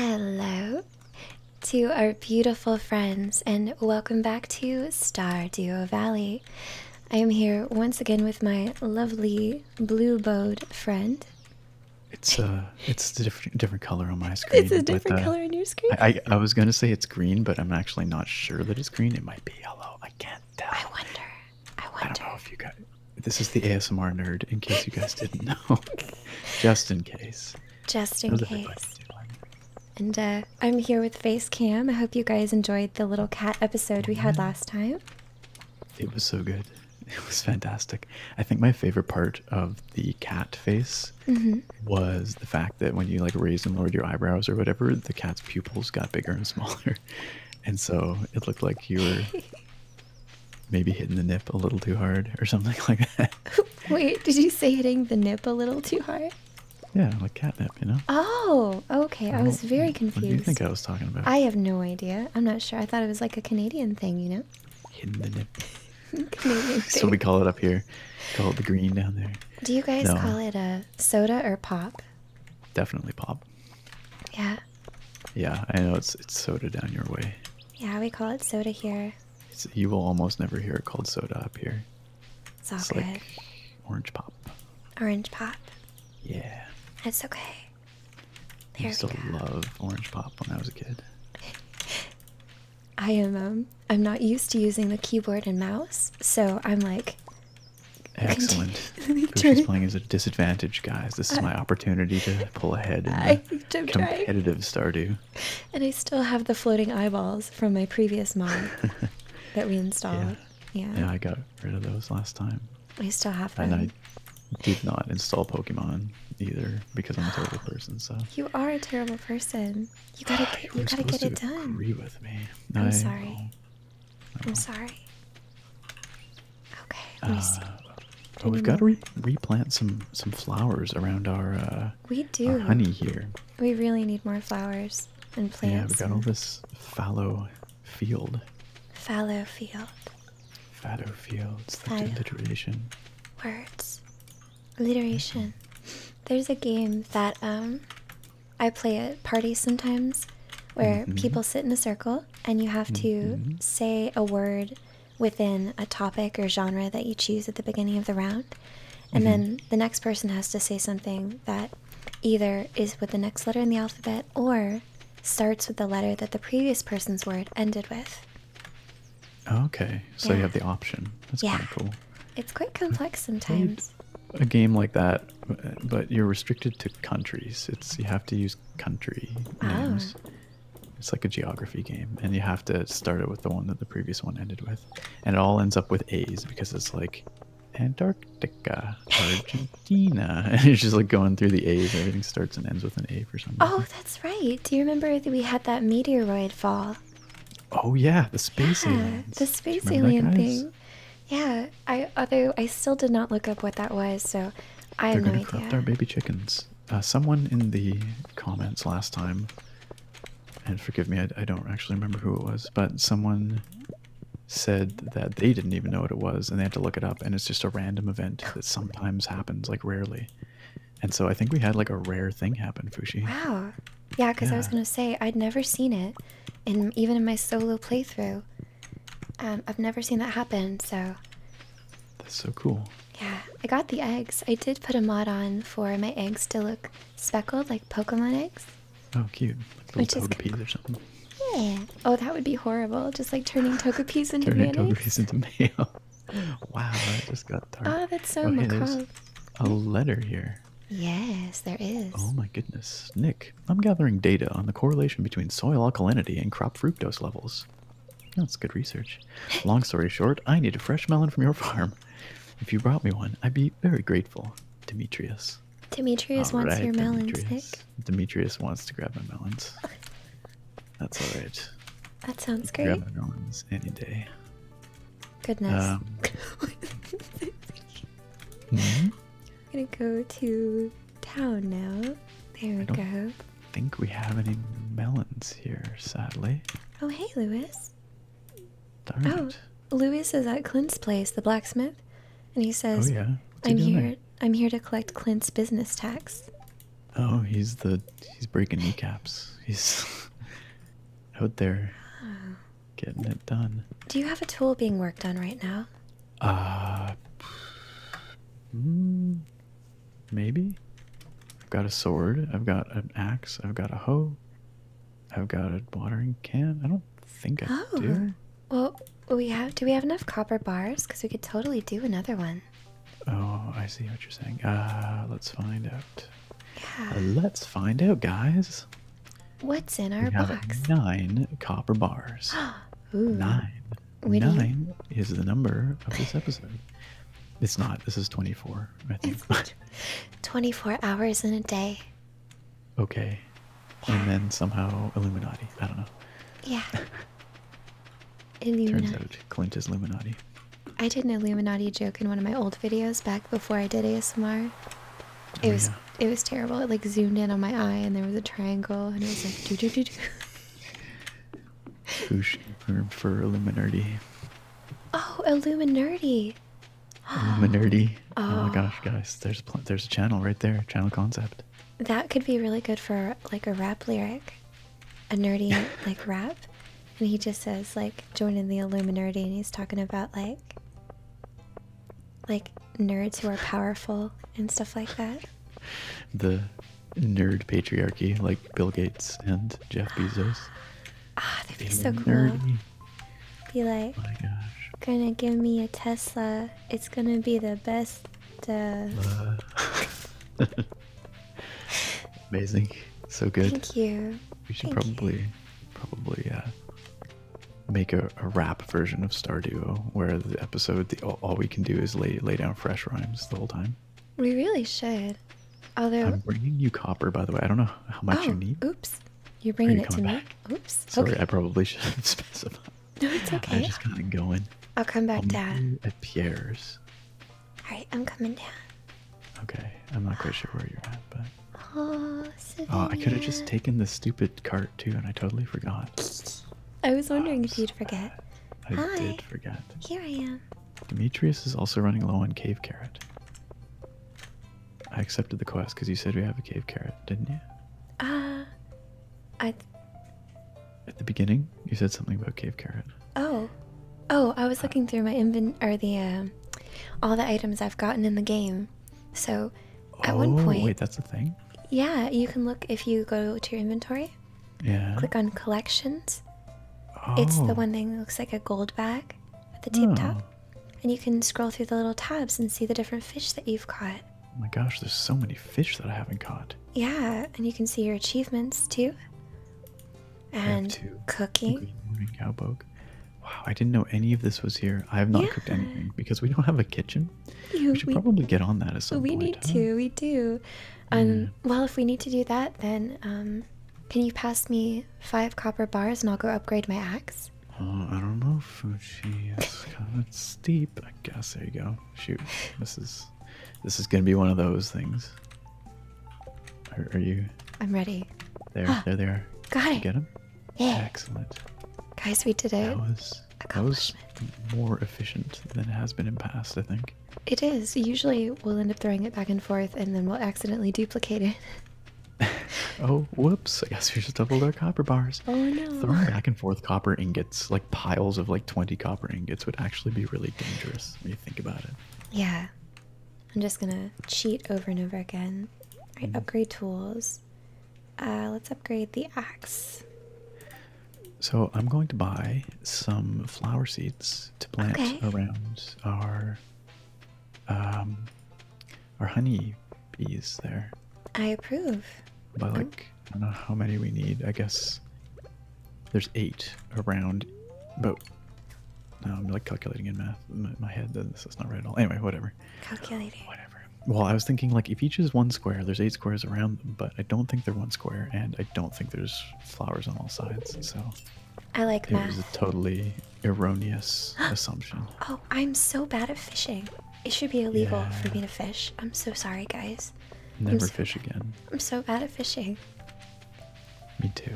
Hello to our beautiful friends, and welcome back to Star Duo Valley. I am here once again with my lovely blue bowed friend. It's uh, it's a different different color on my screen. it's a different uh, color on your screen. I, I, was gonna say it's green, but I'm actually not sure that it's green. It might be yellow. I can't tell. I wonder. I wonder. I don't know if you got. This is the ASMR nerd. In case you guys didn't know, just in case. Just in case. And uh, I'm here with FaceCam. I hope you guys enjoyed the little cat episode we had mm-hmm. last time. It was so good. It was fantastic. I think my favorite part of the cat face Mm-hmm. was the fact that when you like raised and lowered your eyebrows or whatever, the cat's pupils got bigger and smaller, and so it looked like you were maybe hitting the nip a little too hard or something like that. Wait, did you say hitting the nip a little too hard? Yeah, like catnip, you know. Oh, okay. I, was very confused. What do you think I was talking about? I have no idea. I'm not sure. I thought it was like a Canadian thing, you know. Hidden the nip. Canadian thing. So we call it up here. Call it the green down there. Do you guys call it a soda or pop? Definitely pop. Yeah. Yeah, I know it's it's soda down your way. Yeah, we call it soda here. you will almost never hear it called soda up here. It's Like orange pop. Orange pop. Yeah. It's okay. I used to love orange pop when I was a kid. I am um, I'm not used to using the keyboard and mouse, so I'm like Excellent. She's playing as a disadvantage, guys. This is my opportunity to pull ahead in competitive Stardew. And I still have the floating eyeballs from my previous mod that we installed. Yeah. yeah. Yeah, I got rid of those last time. I still have them. And I did not install Pokemon either because I'm a terrible person, so You are a terrible person. You gotta, get, it done. Agree with me. I'm sorry. I'm sorry. Okay. Oh, we've got to replant some some flowers around our. Uh, we do. honey here. We really need more flowers and plants. Yeah, we got all this fallow field. Fallow field. Fallow fields. That's alliteration. Words alliteration. There's a game that um, I play at parties sometimes where mm-hmm. people sit in a circle and you have to mm-hmm. say a word within a topic or genre that you choose at the beginning of the round. And then mm-hmm. the next person has to say something that either is with the next letter in the alphabet or starts with the letter that the previous person's word ended with. Okay, so you have the option. That's kind of cool. It's quite complex sometimes a game like that, but you're restricted to countries. It's you have to use country ah. names. It's like a geography game, and you have to start it with the one that the previous one ended with, and it all ends up with A's because it's like Antarctica, Argentina, and you're just like going through the A's. Everything starts and ends with an A for some Oh, that's right. Do you remember that we had that meteoroid fall? Oh yeah, the space yeah, The space alien thing. Yeah, I although I still did not look up what that was, so I They're have no idea. They're baby chickens. Uh, someone in the comments last time, and forgive me, I, don't actually remember who it was, but someone said that they didn't even know what it was, and they had to look it up, and it's just a random event that sometimes happens, like rarely. And so I think we had like a rare thing happen, Fushi. Wow, yeah, because I was gonna say I'd never seen it, and even in my solo playthrough, um, I've never seen that happen. So. That's so cool. Yeah, I got the eggs. I did put a mod on for my eggs to look speckled like Pokemon eggs. Oh, cute! Like little Which Togepi's is or something. Yeah. Oh, that would be horrible. Just like turning Togepi's into turning Togepi's into mail. wow, I just got dark. Oh, that's so oh, macabre. a letter here. Yes, there is. Oh my goodness. Nick, I'm gathering data on the correlation between soil alkalinity and crop fructose levels. That's good research. Long story short, I need a fresh melon from your farm. If you brought me one, I'd be very grateful. Demetrius. Demetrius wants your melons, Nick. Demetrius wants to grab my melons. That's alright. That sounds great. Grab my melons any day. Goodness. I'm um, gonna go to town now. There we go. Think we have any melons here, sadly. Oh hey, Lewis. Darn oh, it. Lewis is at Clint's place, the blacksmith, and he says, "Oh yeah, I'm here. I'm here to collect Clint's business tax." Oh, he's the he's breaking kneecaps. He's out there. Oh. Getting it done. Do you have a tool being worked on right now? Uh, mm, maybe. I've got a sword. I've got an axe. I've got a hoe. I've got a watering can. I don't think I oh. do. Well, we have. Do we have enough copper bars? Because we could totally do another one. Oh, I see what you're saying. Uh, let's find out. Uh, let's find out, guys. What's in our box? nine copper bars. Nine. Nine is the number of this episode. It's not. This is 24, I think. 24 hours in a day. Okay. And then somehow Illuminati. I don't know. Yeah. Turns out Clint is Illuminati. I did an Illuminati joke in one of my old videos back before I did ASMR. Oh, it was it was terrible. It like zoomed in on my eye, and there was a triangle, and it was like do do do do. Fush term for Illuminati. Oh, Illuminati. Illuminati. Oh. my oh. gosh, guys! There's there's a channel right there. Channel concept. That could be really good for like a rap lyric, a nerdy like rap, and he just says like joining the Illuminati, and he's talking about like, like nerds who are powerful and stuff like that. The nerd patriarchy, like Bill Gates and Jeff Bezos. Ah, oh, that'd be so cool. Be like, oh my gosh. gonna give me a Tesla. It's gonna be the best. Uh... Amazing, so good. Thank you. We should probably, probably, uh, make a, rap version of Star Duo where the episode, the, all, we can do is lay lay down fresh rhymes the whole time. We really should. Although I'm bringing you copper, by the way. I don't know how much you oh, need. Oops, you're bringing it to me. Oops. Sorry, I probably should have specified. No, it's okay. I am just kind of going. I'll come back down. At Pierre's. All right, I'm coming down. Okay, I'm not quite sure where you're at, but oh, I could have just taken the stupid cart too, and I totally forgot. I was wondering if you'd forget. I did forget. Here I am. Demetrius is also running low on cave carrot. I accepted the quest because you said we have a cave carrot, didn't you? Uh, I. At the beginning, you said something about cave carrot. Oh, oh! I was looking through my invent or the, um, all the items I've gotten in the game, so at one oh, point. Wait, that's the thing? Yeah, you can look if you go to your inventory. Yeah. Click on collections. Oh. It's the oh. one thing that looks like a gold bag at the top. Hmm. And you can scroll through the little tabs and see the different fish that you've caught. Oh my gosh, there's so many fish that I haven't caught. Yeah, and you can see your achievements too. And cooking. Good cowpoke. Wow, I didn't know any of this was here. I have not cooked anything because we don't have a kitchen. we should probably get on that at some we point. We need to. We do. Um. Well, if we need to do that, then um, can you pass me five copper bars and I'll go upgrade my axe? Oh, I don't know, Fuji. It's kind of steep. I guess there you go. Shoot, this is this is gonna be one of those things. Are, you? I'm ready. There, there they are. Got you it. Get them. Excellent. Guys, we did it. That was, that more efficient than it has been in past, I think. It is. Usually we'll end up throwing it back and forth and then we'll accidentally duplicate it. oh, whoops. I guess we just doubled our copper bars. Oh, no. Throwing back and forth copper ingots, like piles of like 20 copper ingots, would actually be really dangerous when you think about it. Yeah. I'm just going to cheat over and over again. Mm. upgrade tools. Uh, let's upgrade the axe. So I'm going to buy some flower seeds to plant around our um, our honey bees there. I approve. But like I don't know how many we need. I guess there's eight around, but now I'm um, like calculating in math in my head. That's not right at all. Anyway, whatever. Calculating. Whatever. Well, I was thinking like if each is one square, there's eight squares around them, but I don't think they're one square, and I don't think there's flowers on all sides. So. I like it math. It was a totally erroneous assumption. Oh, I'm so bad at fishing. It should be illegal for me to fish. I'm so sorry, guys. Never fish again. I'm so bad at fishing. Me too.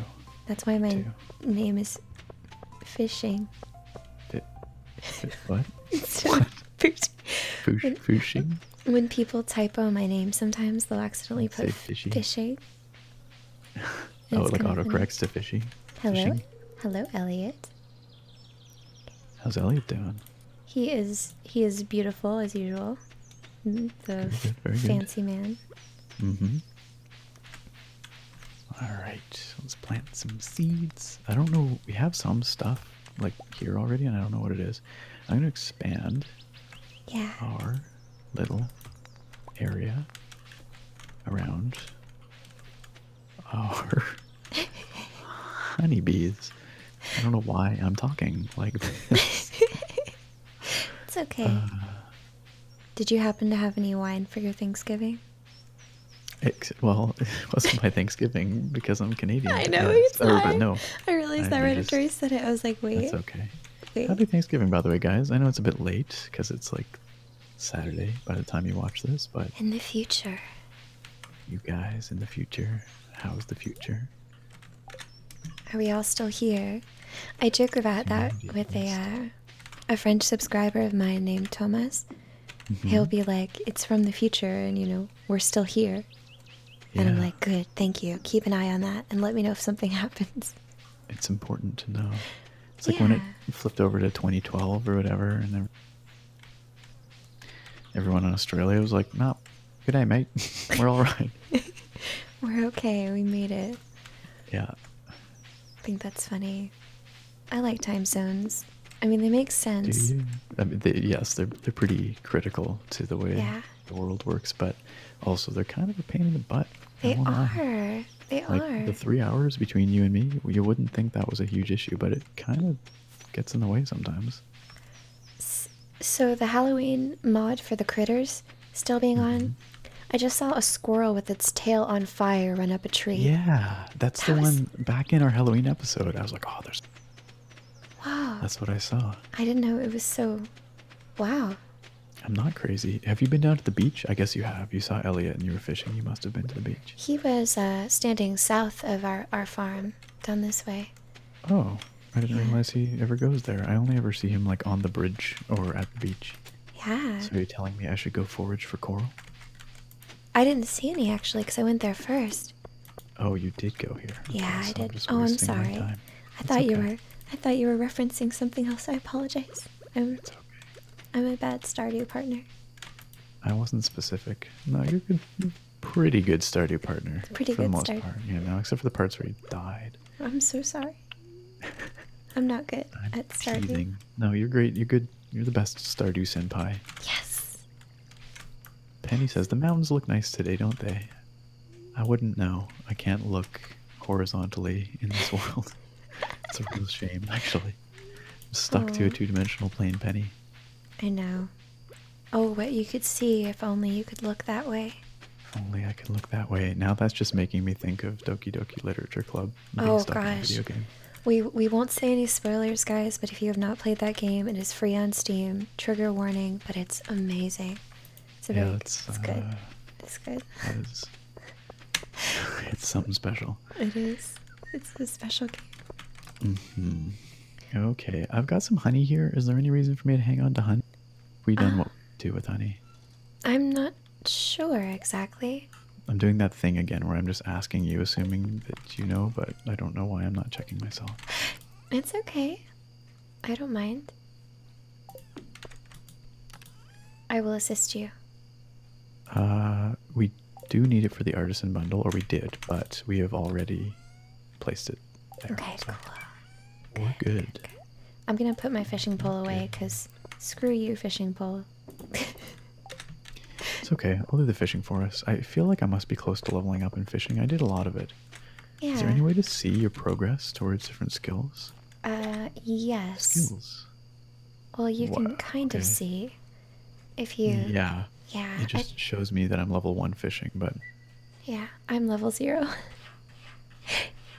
That's why my name is Fishing. what? fishing. When people typo my name, sometimes they'll accidentally put fishy. fishing. oh, like autocorrects to fishy. Hello, hello, Elliot. How's Elliot doing? He is he is beautiful as usual. Mm, the fancy man. Mm-hmm. Alright, let's plant some seeds. I don't know, we have some stuff like here already, and I don't know what it is. I'm going to expand our little area around our honeybees. I don't know why I'm talking like this. it's okay. Uh, Did you happen to have any wine for your Thanksgiving? well, it wasn't my Thanksgiving because I'm Canadian. I know it's or, oh, not. no, I realized I, that right after you said it. I was like, wait. It's okay. Happy Thanksgiving, by the way, guys. I know it's a bit late because it's like Saturday by the time you watch this, but in the future, you guys in the future, how's the future? Are we all still here? I joke about that with the. uh, a French subscriber of mine named Thomas. Mm-hmm. He'll be like, "It's from the future, and you know we're still here." And I'm like, "Good, thank you. Keep an eye on that, and let me know if something happens." It's important to know. It's like when it flipped over to 2012 or whatever, and everyone in Australia was like, "Nope, good day, mate. We're all right. We're okay. We made it." Yeah. I think that's funny. I like time zones. I mean, they make sense. yes, they're they're pretty critical to the way the world works, but also they're kind of a pain in the butt. They are. They are. The three hours between you and me, you wouldn't think that was a huge issue, but it kind of gets in the way sometimes. So the Halloween mod for the critters still being on. Mm-hmm. I just saw a squirrel with its tail on fire run up a tree. Yeah, that's the one back in our Halloween episode. I was like, oh, there's. Wow. That's what I saw. I didn't know it was so. Wow. I'm not crazy. Have you been down to the beach? I guess you have. You saw Elliot and you were fishing. You must have been to the beach. He was uh, standing south of our, our farm, down this way. Oh, I didn't realize he ever goes there. I only ever see him like on the bridge or at the beach. Yeah. So you're telling me I should go forage for coral? I didn't see any actually because I went there first. Oh, you did go here. yeah, I did. oh, I'm sorry. I thought you were. I thought you were referencing something else. I apologize. I'm. It's okay. I'm a bad Stardew partner. I wasn't specific. No, you're good. pretty good Stardew partner. Pretty for the most part, you know, except for the parts where he died. I'm so sorry. I'm not good at starting. No, you're great. You're good. You're the best Stardew Senpai. Yes. Penny says the mountains look nice today, don't they? I wouldn't know. I can't look horizontally in this world. it's a real shame, actually. I'm stuck to a two-dimensional plane, Penny. I know. Oh, what you could see if only you could look that way. only I could look that way. Now that's just making me think of Doki Doki Literature Club oh, gosh. We we won't say any spoilers, guys. But if you have not played that game, it is free on Steam. Trigger warning, but it's amazing. It's a yeah, it's, good. Uh, it's good. It's, something special. It is. It's a special game. Mm -hmm. Okay, I've got some honey here. Is there any reason for me to hang on to honey? We done uh, what do with honey? I'm not sure exactly. I'm doing that thing again where I'm just asking you, assuming that you know, but I don't know why I'm not checking myself. It's okay. I don't mind. I will assist you. Uh, we do need it for the artisan bundle, or we did, but we have already placed it there. Okay, so cool. We're good. I'm gonna put my fishing pole away because screw you, fishing pole it's okay. I'll do the fishing for us. I feel like I must be close to leveling up in fishing. I did a lot of it. Yeah. Is there any way to see your progress towards different skills? Uh, yes. Skills. Well, you can kind of see if you. Yeah. Yeah. It just shows me that I'm level one fishing, but. Yeah, I'm level zero.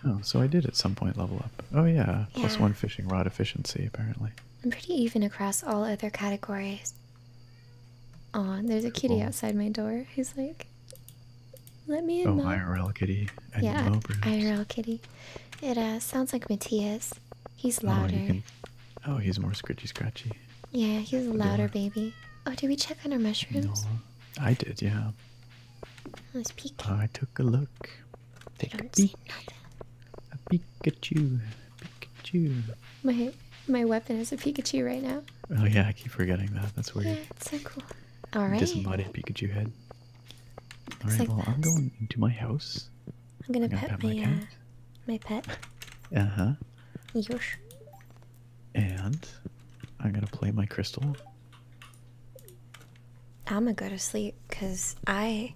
oh, so I did at some point level up. Oh yeah. plus one fishing rod efficiency apparently. I'm pretty even across all other categories. Aw, there's a kitty outside my door who's like, let me in. Oh, Mom. IRL kitty. I yeah, IRL kitty. It uh, sounds like Matthias. He's oh, louder. Oh, he's more scritchy scratchy. Yeah, he's a louder baby. Oh, did we check on our mushrooms? I did, yeah. Let's oh, peek. I took a look. Take you do a peek. See nothing. Pikachu. My my weapon is a Pikachu right now. Oh yeah, I keep forgetting that. That's weird. Yeah, it's so cool. All right. Disembodied Pikachu head. All right. well, I'm going into my house. I'm gonna, pet, my, my Uh, my pet. uh huh. Yosh. And I'm gonna play my crystal. I'm gonna go to sleep because I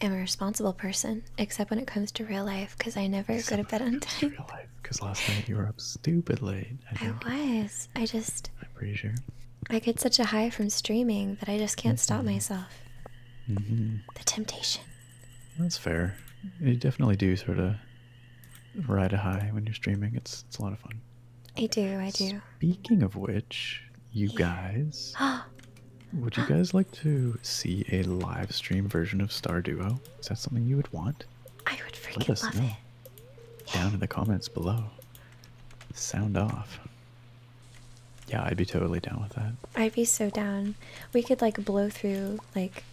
am a responsible person, except when it comes to real life, because I never go to bed on time. Real life, because last night you were up stupid late. I, I was. I just. I'm pretty sure. I get such a high from streaming that I just can't mm-hmm. stop myself. Mm-hmm. The temptation. That's fair. You definitely do sort of ride a high when you're streaming. It's it's a lot of fun. I do. I do. Speaking of which, you yeah. guys. Would you guys like to see a live stream version of Star Duo? Is that something you would want? I would freaking Let love it. Down in the comments below. Sound off. Yeah, I'd be totally down with that. I'd be so down. We could like blow through like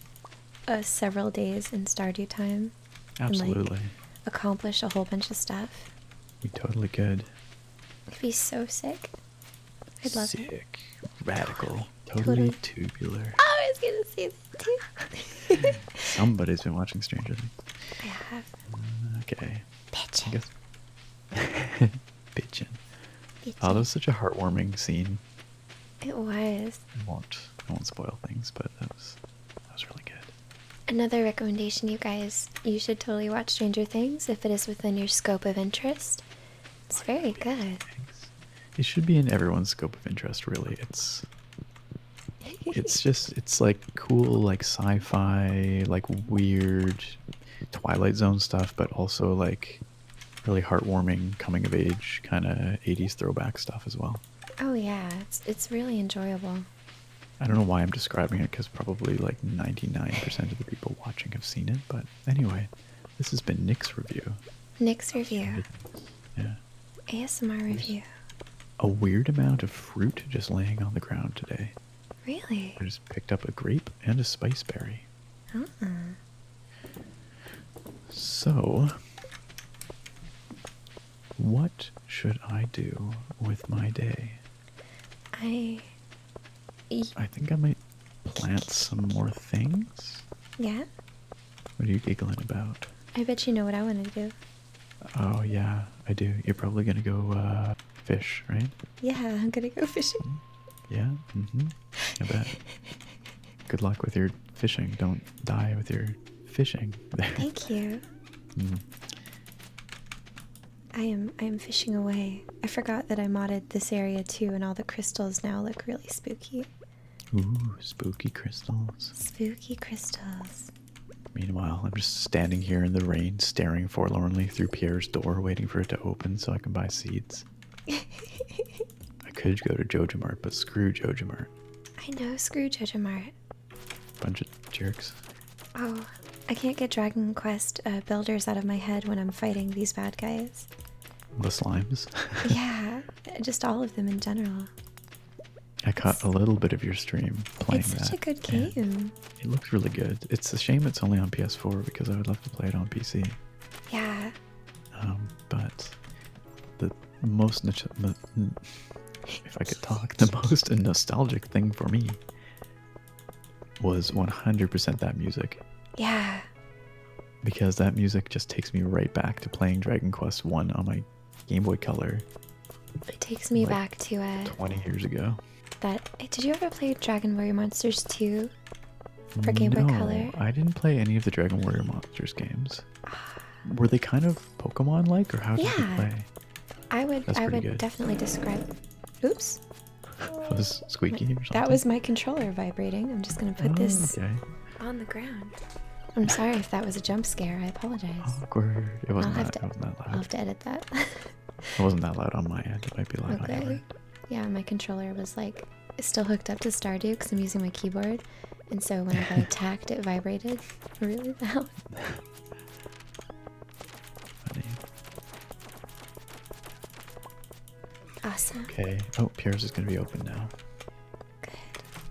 uh, several days in Stardew time. Absolutely. accomplish a whole bunch of stuff. We totally could. It'd be so sick. I'd love Sick, it. radical, totally, tubular. I was gonna say Somebody's been watching Stranger Things. I have. Mm, okay. Pigeon. Pigeon. Oh, that was such a heartwarming scene. It was. I won't. I won't spoil things, but that was that was really good. Another recommendation, you guys, you should totally watch Stranger Things if it is within your scope of interest. It's very good. It should be in everyone's scope of interest, really. It's it's just it's like cool, like sci-fi, like weird Twilight Zone stuff, but also like really heartwarming coming of age kind of 80s throwback stuff as well. Oh yeah, it's it's really enjoyable. I don't know why I'm describing it because probably like 99% of the people watching have seen it, but anyway, this has been Nick's review. Nick's review. Yeah. ASMR review. A weird amount of fruit just laying on the ground today. Really? I just picked up a grape and a spice berry. Uh -uh. So, what should I do with my day? I I think I might plant some more things. Yeah? What are you giggling about? I bet you know what I want to do. Oh, yeah, I do. You're probably going to go uh, fish, right? Yeah, I'm going to go fishing. Mm-hmm. Yeah, mm-hmm. I bet. Good luck with your fishing. Don't die with your fishing. Thank you. Mm. I am I am fishing away. I forgot that I modded this area too, and all the crystals now look really spooky. Ooh, spooky crystals. Spooky crystals. Meanwhile, I'm just standing here in the rain, staring forlornly through Pierre's door, waiting for it to open so I can buy seeds. I could go to Jojomart, but screw Jojomart. I know, screw Jojomart. Bunch of jerks. Oh, I can't get Dragon Quest uh, builders out of my head when I'm fighting these bad guys. The slimes. yeah, just all of them in general. I caught a little bit of your stream playing that. It's such a good game. It looks really good. It's a shame it's only on PS4 because I would love to play it on PC. Yeah. Um, but the most if I could talk, the most nostalgic thing for me was 100% that music. Yeah. Because that music just takes me right back to playing Dragon Quest 1 on my Game Boy Color. It takes me back to it. Uh, 20 years ago. That eh, did you ever play Dragon Warrior Monsters 2 for Game Boy Color? I didn't play any of the Dragon Warrior Monsters games. Ah. Were they kind of Pokemon like or how did you play? I would I would definitely describe Oops was squeaky That was my controller vibrating. I'm just gonna put oh, this on the ground. I'm sorry if that was a jump scare. I apologize. Awkward. It wasn't, that, loud. I'll have to edit that. it wasn't that loud on my end. It might be loud on your end. Yeah, my controller was like still hooked up to Stardew because I'm using my keyboard. And so when I got attacked, it vibrated really loud. Awesome. Okay. Oh, Pierre's is going to be open now. Good.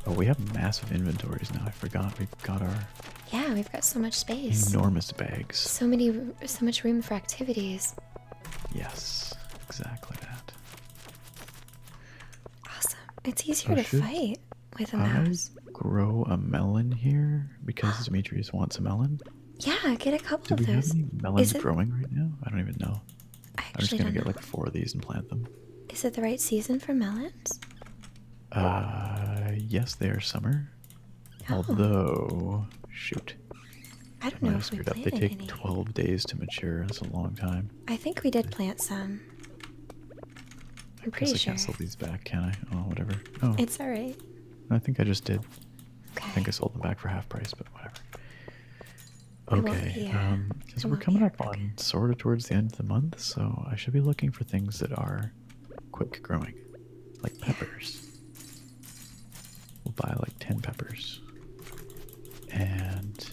Oh, we have massive inventories now. I forgot we've got our. Yeah, we've got so much space. Enormous bags. So many, so much room for activities. Yes, exactly that. Awesome. It's easier oh, to fight with a mouse. I grow a melon here because Demetrius wants a melon. Yeah, get a couple Do of we those. Have any melons growing right now? I don't even know. I I'm just gonna get like four of these and plant them. Is it the right season for melons? Uh, yes, they are summer. Oh. Although, shoot. I don't know if we planted They take any. 12 days to mature. That's a long time. I think we did plant some. I'm pretty guess sure. I can't sell these back, can I? Oh, whatever. Oh. It's alright. I think I just did. Okay. I think I sold them back for half price, but whatever. Okay, because um, we're coming up on sort of towards the end of the month, so I should be looking for things that are quick growing, like peppers. We'll buy like 10 peppers. And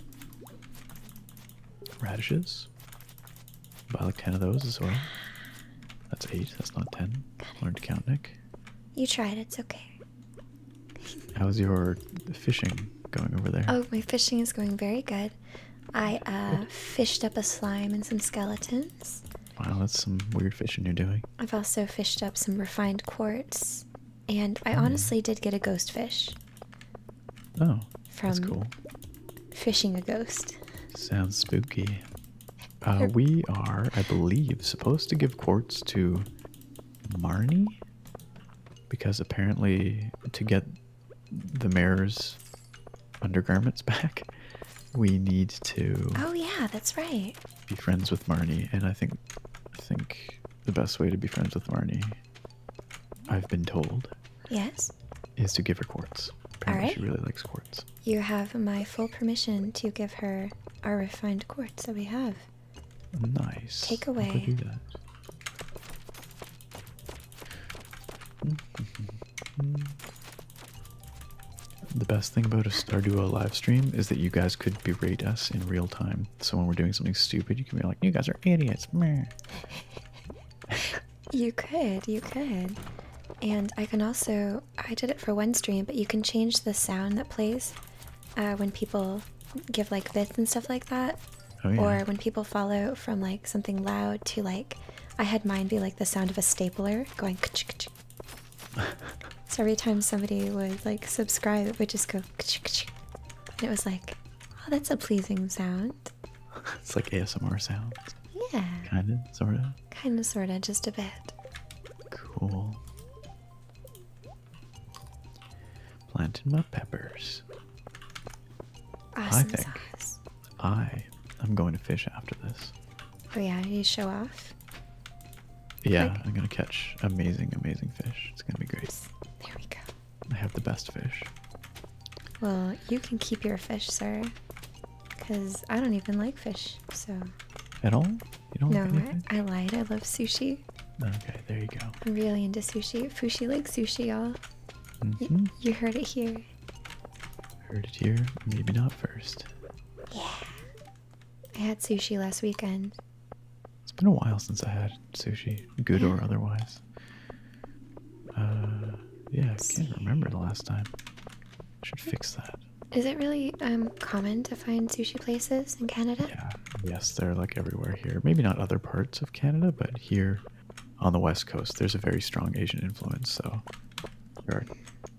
radishes. buy like 10 of those as well. That's 8, that's not 10. Learned to count, Nick. You tried, it's okay. How's your fishing going over there? Oh, my fishing is going very good. I uh, fished up a slime and some skeletons. Wow, that's some weird fishing you're doing. I've also fished up some refined quartz, and I hmm. honestly did get a ghost fish. Oh, that's cool. Fishing a ghost. Sounds spooky. Uh, we are, I believe, supposed to give quartz to Marnie? Because apparently, to get the mayor's undergarments back, we need to. Oh yeah, that's right. Be friends with Marnie, and I think, I think the best way to be friends with Marnie, I've been told. Yes. Is to give her quartz. Apparently, she really likes quartz. You have my full permission to give her our refined quartz that we have. Nice. Take away. The best thing about a Starduo live stream is that you guys could berate us in real time. So when we're doing something stupid, you can be like, "You guys are idiots." you could, you could. And I can also I did it for one stream, but you can change the sound that plays uh, when people give like bits and stuff like that, oh, or when people follow from like something loud to like, I had mine be like the sound of a stapler going. K -ch -k -ch. so every time somebody would like subscribe, it would just go. K -ch it was like, oh, that's a pleasing sound. it's like ASMR sounds. Yeah. Kind of, sort of. Kind of, sort of, just a bit. Cool. Planting my peppers. I think sauce. I am going to fish after this. Oh yeah, you show off. Yeah, I'm gonna catch amazing, amazing fish. It's gonna be great. There we go. I have the best fish. Well, you can keep your fish, sir. Because I don't even like fish, so. At all? no, I, lied. I love sushi. Okay, there you go. I'm really into sushi. Fushi like sushi, y'all. Mm-hmm. You heard it here. Heard it here, maybe not first. Yeah. I had sushi last weekend. It's been a while since I had sushi, good or otherwise. Uh, yeah, I can't remember the last time. I should fix that. Is it really um common to find sushi places in Canada? yes, they're like everywhere here. Maybe not other parts of Canada, but here on the west coast, there's a very strong Asian influence. So there are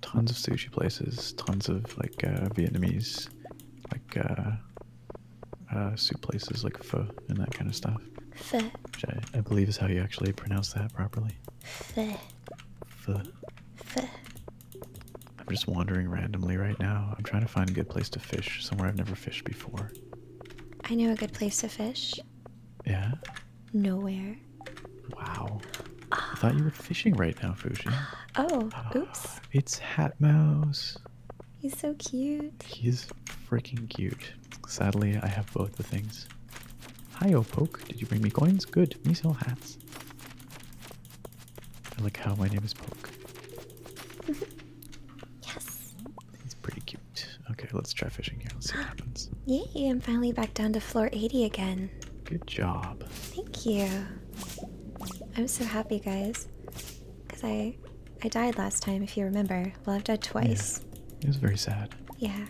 tons of sushi places, tons of like uh, Vietnamese, like uh, uh, soup places, like pho and that kind of stuff. Which I, believe is how you actually pronounce that properly. Pho. I'm just wandering randomly right now. I'm trying to find a good place to fish, somewhere I've never fished before. I know a good place to fish. Yeah? Nowhere. Wow. I thought you were fishing right now, Fuji. Oh, oops. It's Hatmouse. He's so cute. He's freaking cute. Sadly, I have both the things. Hi, Opoke. Did you bring me coins? Good. We sell hats. I like how my name is Poke. yes. It's pretty cute. Okay, let's try fishing here. Let's see what happens. Yay, I'm finally back down to floor 80 again. Good job. Thank you. I'm so happy, guys. Because I I died last time, if you remember. Well, I've died twice. Yeah. It was very sad. Yeah.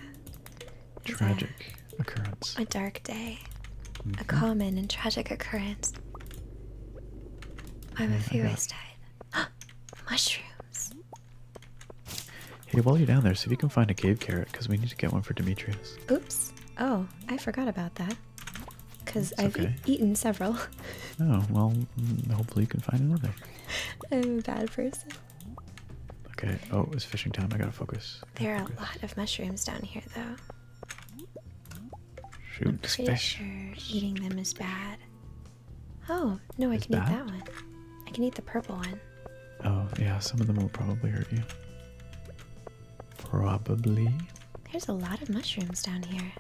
Tragic occurrence. A dark day. A mm-hmm. common and tragic occurrence. I am a few eyes tied. Mushrooms. Hey, while you're down there, see if you can find a cave carrot, because we need to get one for Demetrius. Oops. Oh, I forgot about that. Because I've eaten several. oh, well, mm, hopefully you can find another. I'm a bad person. Okay. Oh, it's fishing time. I gotta focus. There are a lot of mushrooms down here, though. Shoot, eating them is bad. Oh no, I can eat that one. I can eat the purple one. Oh yeah, some of them will probably hurt you. Probably. There's a lot of mushrooms down here.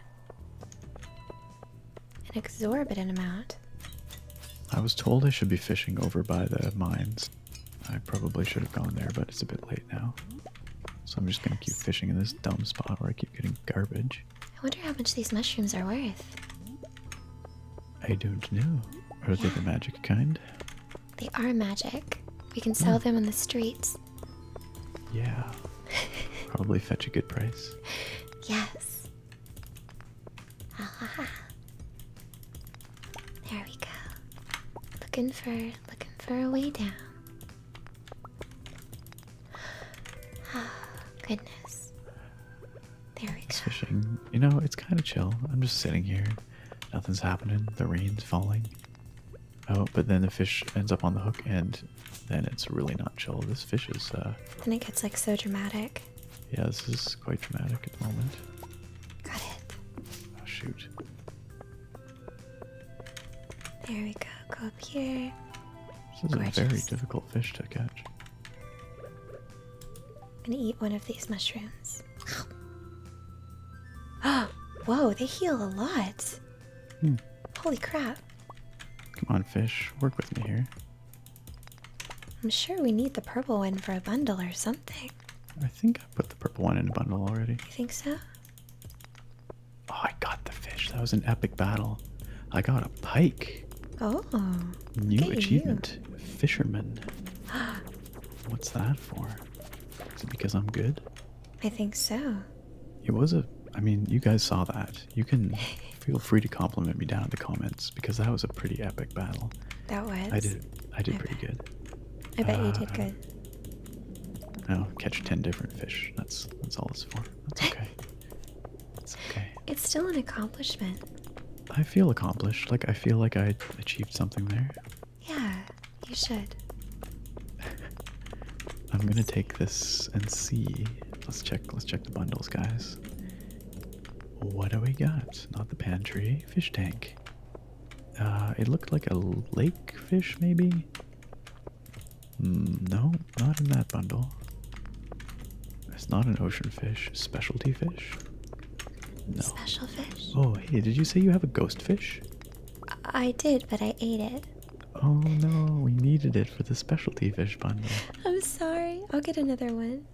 An exorbitant amount. I was told I should be fishing over by the mines. I probably should have gone there, but it's a bit late now. So I'm just gonna keep fishing in this dumb spot where I keep getting garbage. I wonder how much these mushrooms are worth. I don't know. Are they the magic kind? They are magic. We can sell them on the streets. Yeah. Probably fetch a good price. Yes. There we go. Looking for looking for a way down. Goodness. There we go. Fishing. You know, it's kind of chill. I'm just sitting here. Nothing's happening. The rain's falling. Oh, but then the fish ends up on the hook, and then it's really not chill. This fish is, uh. Then it gets like so dramatic. Yeah, this is quite dramatic at the moment. Got it. Oh, shoot. There we go. Go up here. This is a very difficult fish to catch. I'm gonna eat one of these mushrooms. Oh, whoa, they heal a lot. Hmm. Holy crap. Come on, fish. Work with me here. I'm sure we need the purple one for a bundle or something. I think I put the purple one in a bundle already. You think so? Oh, I got the fish. That was an epic battle. I got a pike. Oh. New achievement. Fisherman. What's that for? Is it because I'm good? I think so. It was a I mean, you guys saw that. You can feel free to compliment me down in the comments because that was a pretty epic battle. That was. I did I did pretty good. I bet you did uh, good. Oh, catch ten different fish. That's that's all it's for. That's okay. it's okay. It's still an accomplishment. I feel accomplished. Like I feel like I achieved something there. Yeah, you should. I'm gonna take this and see. Let's check. Let's check the bundles, guys. What do we got? Not the pantry. Fish tank. Uh, it looked like a lake fish, maybe. Mm, no, not in that bundle. It's not an ocean fish. Specialty fish? No. Special fish? Oh, hey, did you say you have a ghost fish? I did, but I ate it. Oh no, we needed it for the specialty fish bundle. I'm sorry. I'll get another one.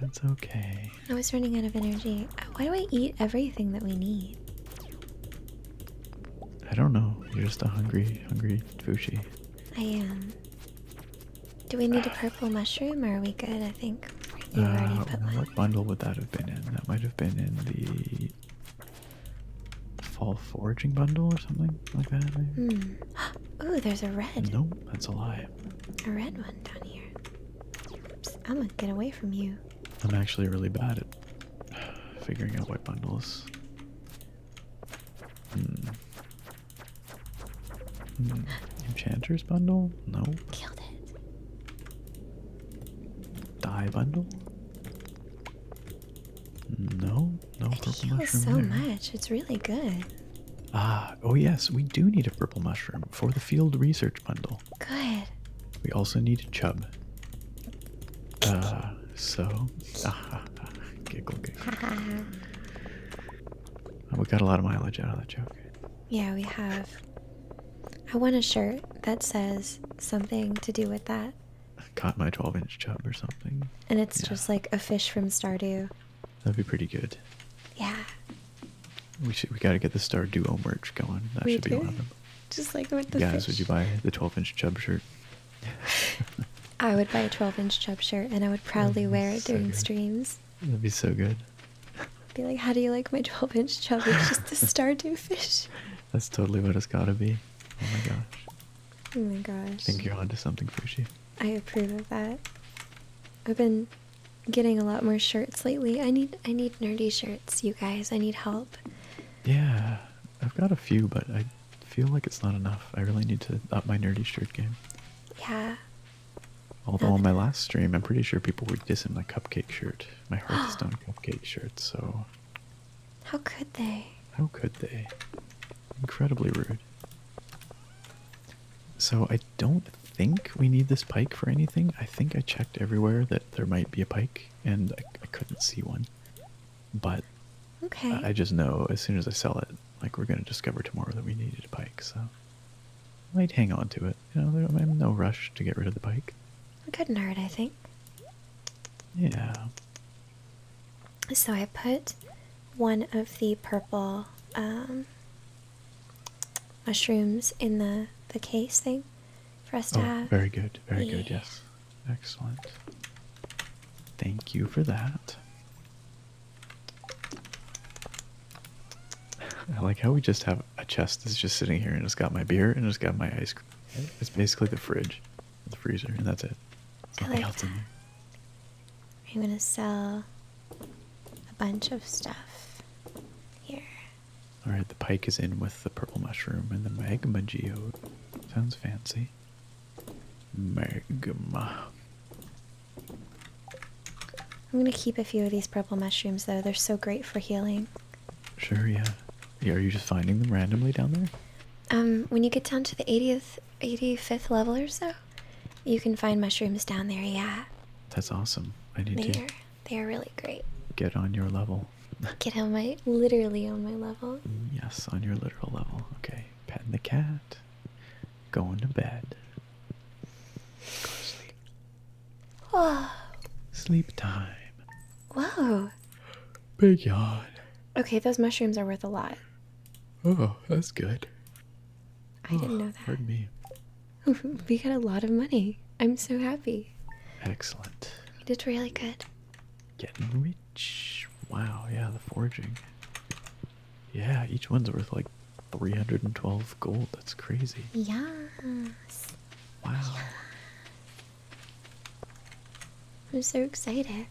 That's okay. I was running out of energy. Why do I eat everything that we need? I don't know. You're just a hungry, hungry Fushi. I am. Do we need a purple mushroom or are we good? I think you uh, What bundle would that have been in? That might have been in the fall foraging bundle or something like that. Maybe. Hmm. Ooh, there's a red. No, that's a lie. A red one down here. Oops, I'm gonna get away from you. I'm actually really bad at figuring out what bundles Hmm. hmm. Enchanter's bundle? No. Killed it. Die bundle? No, no purple mushroom. so much. It's really good. Ah, oh yes, we do need a purple mushroom for the field research bundle. Good. We also need a chub. Uh, so, giggle, giggle. we got a lot of mileage out of that joke. Yeah, we have. I want a shirt that says something to do with that. I caught my 12 inch chub or something. And it's just like a fish from Stardew. That'd be pretty good. Yeah. We should. We gotta get the Stardew merch going. That we should do? be one of them. Just like with the guys, would you buy the 12 inch chub shirt? I would buy a 12 inch chub shirt and I would proudly wear it during streams. That'd be so good. Be like, how do you like my 12 inch chub? It's just a stardew fish. That's totally what it's gotta be. Oh my god. Oh my gosh. I think you're onto something, Fushi. I approve of that. I've been getting a lot more shirts lately. I need I need nerdy shirts, you guys. I need help. Yeah. I've got a few, but I feel like it's not enough. I really need to up my nerdy shirt game. Yeah. Although on my last stream, I'm pretty sure people were dissing my cupcake shirt, my Hearthstone cupcake shirt. So. How could they? How could they? Incredibly rude. So I don't think we need this pike for anything. I think I checked everywhere that there might be a pike, and I couldn't see one. But I just know as soon as I sell it, like we're gonna discover tomorrow that we needed a bike, so I might hang on to it. You know, I'm in no rush to get rid of the bike. It good not hurt, I think. Yeah. So I put one of the purple um, mushrooms in the the case thing for us to oh, have. Very good, very good, yes. Excellent. Thank you for that. I like how we just have a chest that's just sitting here and it's got my beer and it's got my ice cream. It's basically the fridge, the freezer, and that's it. There's nothing else in there. I'm gonna sell a bunch of stuff here. Alright, the pike is in with the purple mushroom and the magma geode. Sounds fancy. Magma. I'm gonna keep a few of these purple mushrooms though. They're so great for healing. Sure, yeah. yeah. Are you just finding them randomly down there? Um, when you get down to the 80th, 85th level or so, you can find mushrooms down there. Yeah. That's awesome. I need they Are, they are really great. Get on your level. Get on my literally on my level. Yes, on your literal level. Okay, petting the cat, going to bed, go to sleep. Oh. Sleep time. Wow. Big yawn. Okay, those mushrooms are worth a lot. Oh, that's good. I didn't oh, know that. Pardon me. we got a lot of money. I'm so happy. Excellent. We did really good. Getting rich. Wow, yeah, the forging. Yeah, each one's worth like 312 gold. That's crazy. Yes. Wow. I'm so excited.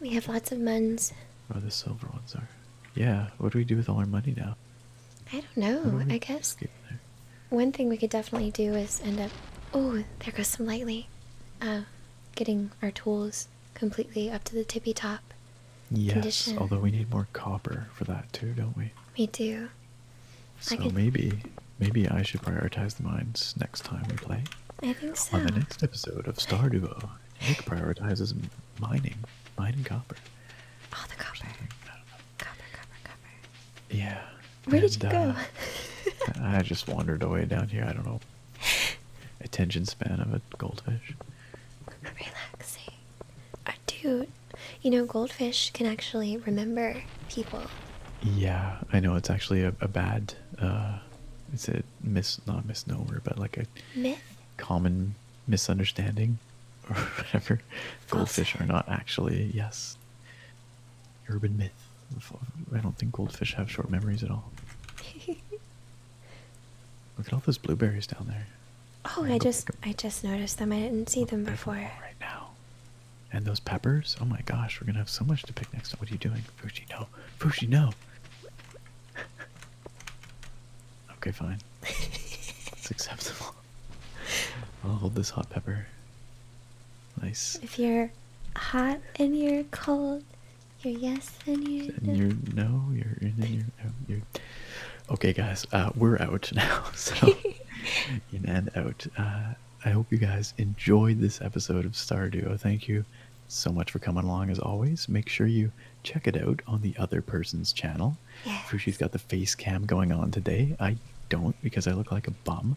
We have lots of muns. Oh, the silver ones are. Yeah, what do we do with all our money now? I don't know. I guess one thing we could definitely do is end up. Oh, there goes some lightly. Oh getting our tools completely up to the tippy top. Yes, although we need more copper for that too, don't we? We do. So maybe, maybe I should prioritize the mines next time we play. I think so. On the next episode of Star Duo, Nick prioritizes mining, mining copper. Oh, the copper. Copper, copper, copper. Yeah. Where did you go? Uh, I just wandered away down here. I don't know. attention span of a goldfish. Relaxing. Our dude, you know, goldfish can actually remember people. Yeah, I know it's actually a, a bad, uh, it's a mis, not misnomer, but like a myth, common misunderstanding or whatever. Goldfish are not actually, yes, urban myth. I don't think goldfish have short memories at all. Look at all those blueberries down there. Oh, I just I just noticed them. I didn't see them before. Right now. And those peppers? Oh my gosh, we're gonna have so much to pick next time. What are you doing? Fushi, no. Fushi, no. okay, fine. it's acceptable. I'll hold this hot pepper. Nice. If you're hot and you're cold, your yes and your no. Your no, your in and your Okay, guys, uh, we're out now. So, in and out. Uh, I hope you guys enjoyed this episode of Star Duo. Thank you so much for coming along as always. Make sure you check it out on the other person's channel. Yes. Fushi's got the face cam going on today. I don't because I look like a bum.